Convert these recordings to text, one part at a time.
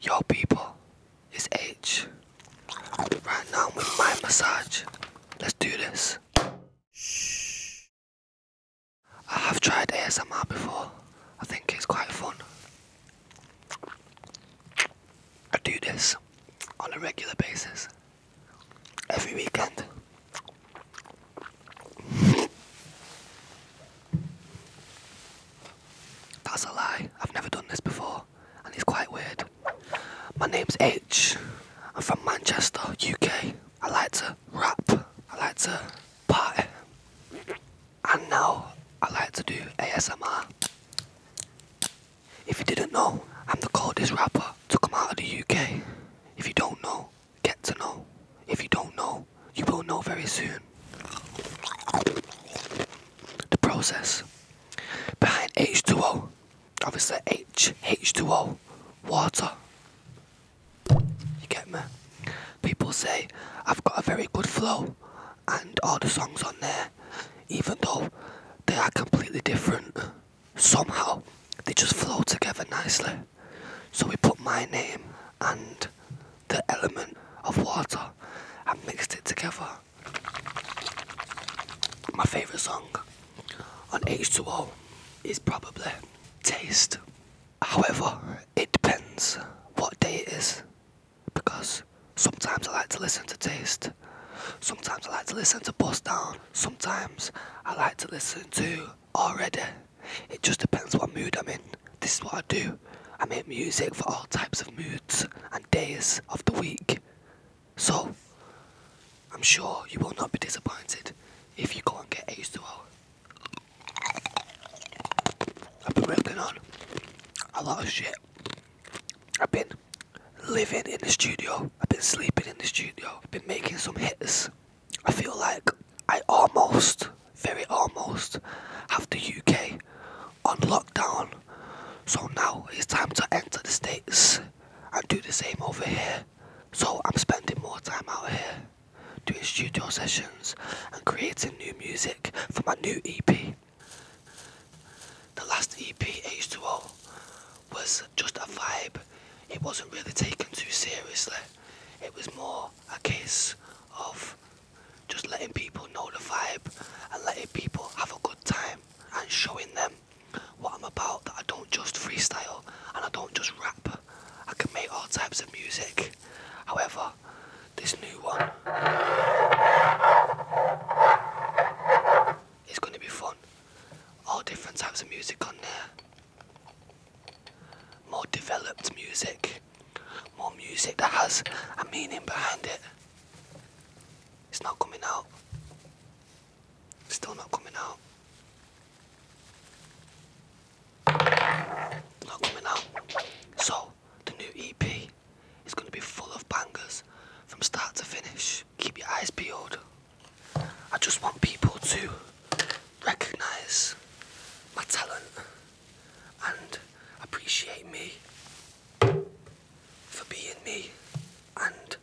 Your people, it's H. Right now I'm with my massage. Let's do this. I have tried ASMR before. I think it's quite fun. I do this on a regular basis. Every weekend. That's a lie. I've never done this before, and it's quite weird. My name's H. I'm from Manchester, UK. I like to rap. I like to party. And now I like to do ASMR. If you didn't know, I'm the coldest rapper to come out of the UK. If you don't know, get to know. If you don't know, you will know very soon. The process behind H2O, obviously H H2O, water. You get me? People say I've got a very good flow, and all the songs on there, even though they are completely different, somehow they just flow together nicely. So we put my name and the element of water and mixed it together. My favourite song on H2O is probably Taste. However, it depends what day it is because sometimes I like to listen to Taste, sometimes I like to listen to Bust Down, sometimes I like to listen to already. It just depends what mood I'm in. This is what I do. I make music for all types of moods and days of the week. So, I'm sure you will not be disappointed if you go and get used to it. I've been working on a lot of shit. I've been living in the studio, I've been sleeping in the studio, I've been making some hits. I feel like I almost, very almost, have the UK on lockdown. So now it's time to enter the States and do the same over here. So I'm spending more time out here doing studio sessions and creating new music for my new EP. The last EP, H2O, was just a vibe. It wasn't really taken too seriously. It was more a case of just letting people know the vibe and letting people have a good time and showing them what I'm about that I don't just freestyle and I don't just rap. I can make all types of music. However, this new one is going to be fun. All different types of music on there more developed music, more music that has a meaning behind it. It's not coming out. It's still not coming out. Not coming out. So the new EP is going to be full of bangers from start to finish. Keep your eyes peeled. I just want people to recognise my talent and appreciate me for being me and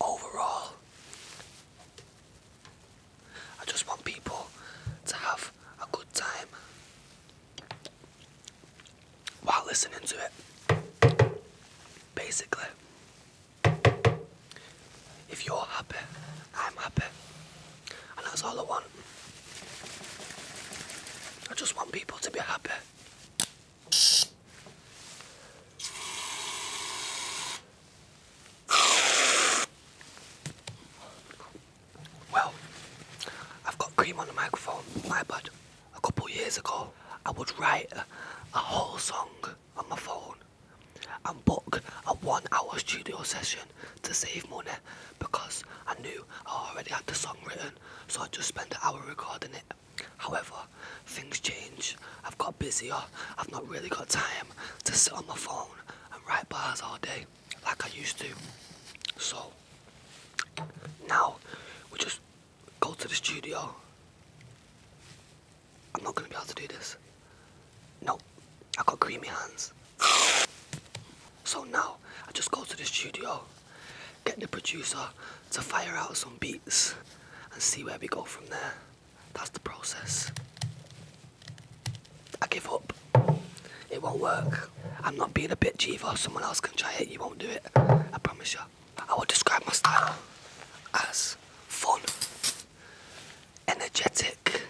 overall I just want people to have a good time while listening to it basically if you're happy, I'm happy. And that's all I want. I just want people to be happy. Well, I've got cream on the microphone, my bad. A couple years ago, I would write a whole song on my phone and book a one hour studio session to save money because I knew I already had the song written so I just spent an hour recording it. However, things change, I've got busier, I've not really got time to sit on my phone and write bars all day like I used to. So now we just go to the studio I'm not gonna be able to do this. No, I have got creamy hands. So now I just go to the studio, get the producer to fire out some beats and see where we go from there. That's the process. I give up. It won't work. I'm not being a bitch either. Someone else can try it. You won't do it. I promise you. I would describe my style as fun, energetic.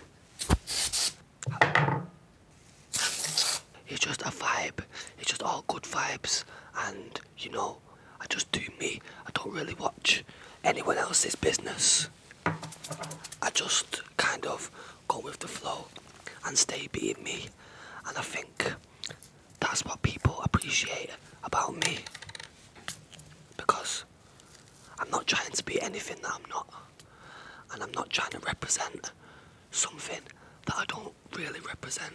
It's just a vibe. It's just all good vibes, and you know, I just do me. I don't really watch anyone else's business. I just kind of go with the flow and stay being me, and I think that's what people appreciate about me because I'm not trying to be anything that I'm not, and I'm not trying to represent something that I don't really represent.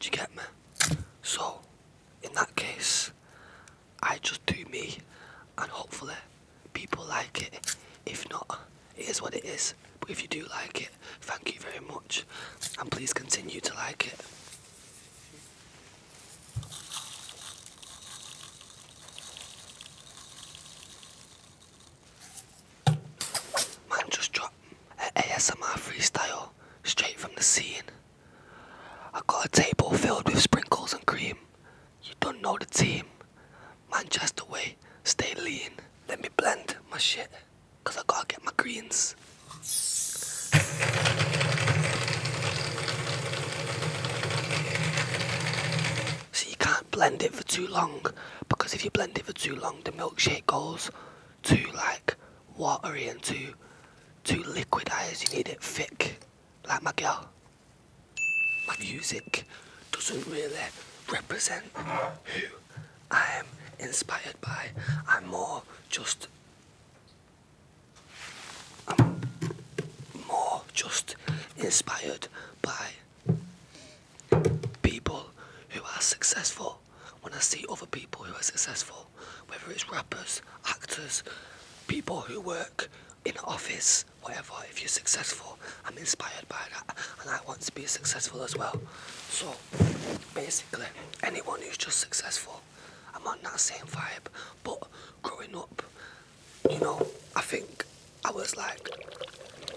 Do you get me? So, in that case, I just do me, and hopefully, people like it. If not, it is what it is. But if you do like it, thank you very much, and please continue to like it. Man just dropped an ASMR freestyle straight from the scene. I got a table filled with sprinkles and cream. You don't know the team. Manchester way, stay lean. Let me blend my shit. Cause I gotta get my greens. so you can't blend it for too long because if you blend it for too long the milkshake goes too like watery and too too as You need it thick. Like my girl. My music doesn't really represent who I'm inspired by. I'm more just. I'm more just inspired by people who are successful. When I see other people who are successful, whether it's rappers, actors, people who work in office, whatever, if you're successful, I'm inspired by that and I want to be successful as well. So basically, anyone who's just successful, I'm on that same vibe. But growing up, you know, I think I was like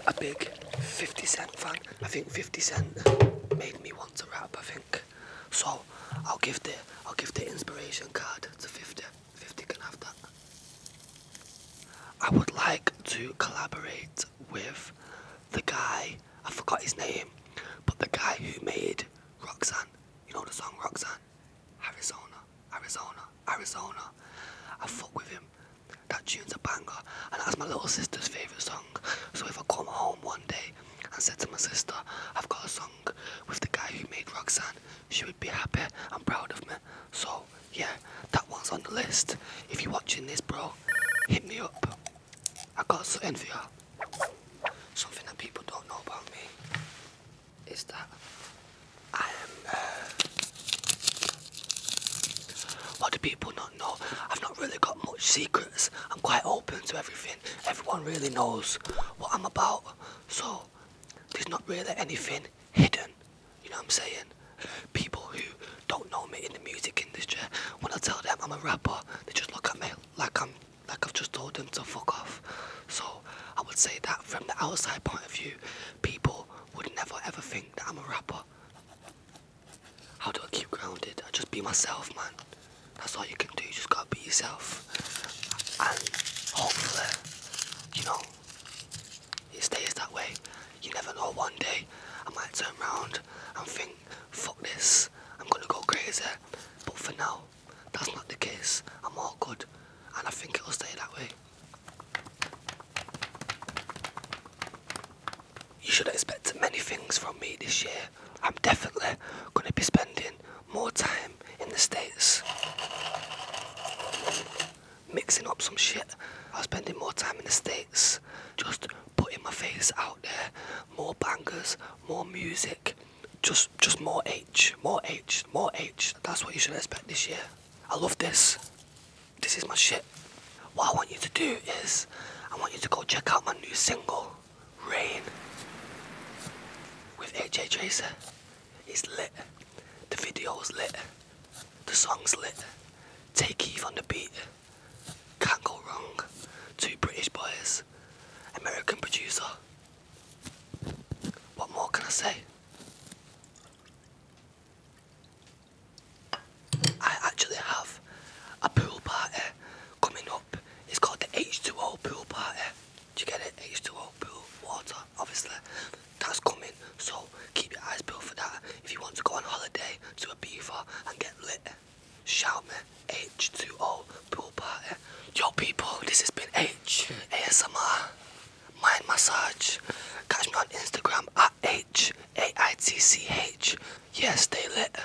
a big 50 Cent fan. I think 50 Cent made me want to rap, I think. So, I'll give the I'll give the inspiration card to 50. 50 can have that. I would like to collaborate with the guy, I forgot his name, but the guy who made Roxanne, you know the song Roxanne? Arizona, Arizona, Arizona. I fuck with him. That tune's a banger, and that's my little sister's favourite song. So if I come home one day and said to my sister, I've got a song with the guy who made Roxanne, she would be happy and proud of me. So yeah, that one's on the list. If you're watching this, bro, hit me up. I got something for you. Something that people don't know about me is that I am. Uh, what do people not know? I've not really got much secrets. I'm quite open to everything. Everyone really knows what I'm about. So there's not really anything hidden you know what I'm saying? People who don't know me in the music industry, when I tell them I'm a rapper, they just look at me like I'm like I've just told them to fuck off. So I would say that from the outside point of view, people would never ever think that I'm a rapper. How do I keep grounded? I just be myself, man. That's all you can do. You just gotta be yourself, and hopefully, you know, it stays that way. You never know, one day I might turn around and think, fuck this, I'm gonna go crazy. But for now, that's not the case. I'm all good, and I think it'll stay that way. You should expect many things from me this year. I'm definitely going to be spending more time in the States mixing up some shit. I was spending more time in the States, just putting my face out there, more bangers, more music, just just more H, more H, more H. That's what you should expect this year. I love this. This is my shit. What I want you to do is, I want you to go check out my new single, Rain, with AJ Tracer. It's lit. The video is lit. The song's lit. Take Eve on the beat. Can't go wrong. Two British boys. American producer. What more can I say? I actually have a pool party coming up. It's called the H2O pool party. Do you get it? H2O pool water obviously that's coming so keep your eyes peeled for that if you want to go on holiday to a Ibiza and get lit shout me H2O pool party yo people this has been H ASMR mind massage catch me on Instagram at H A-I-T-C-H yeah stay lit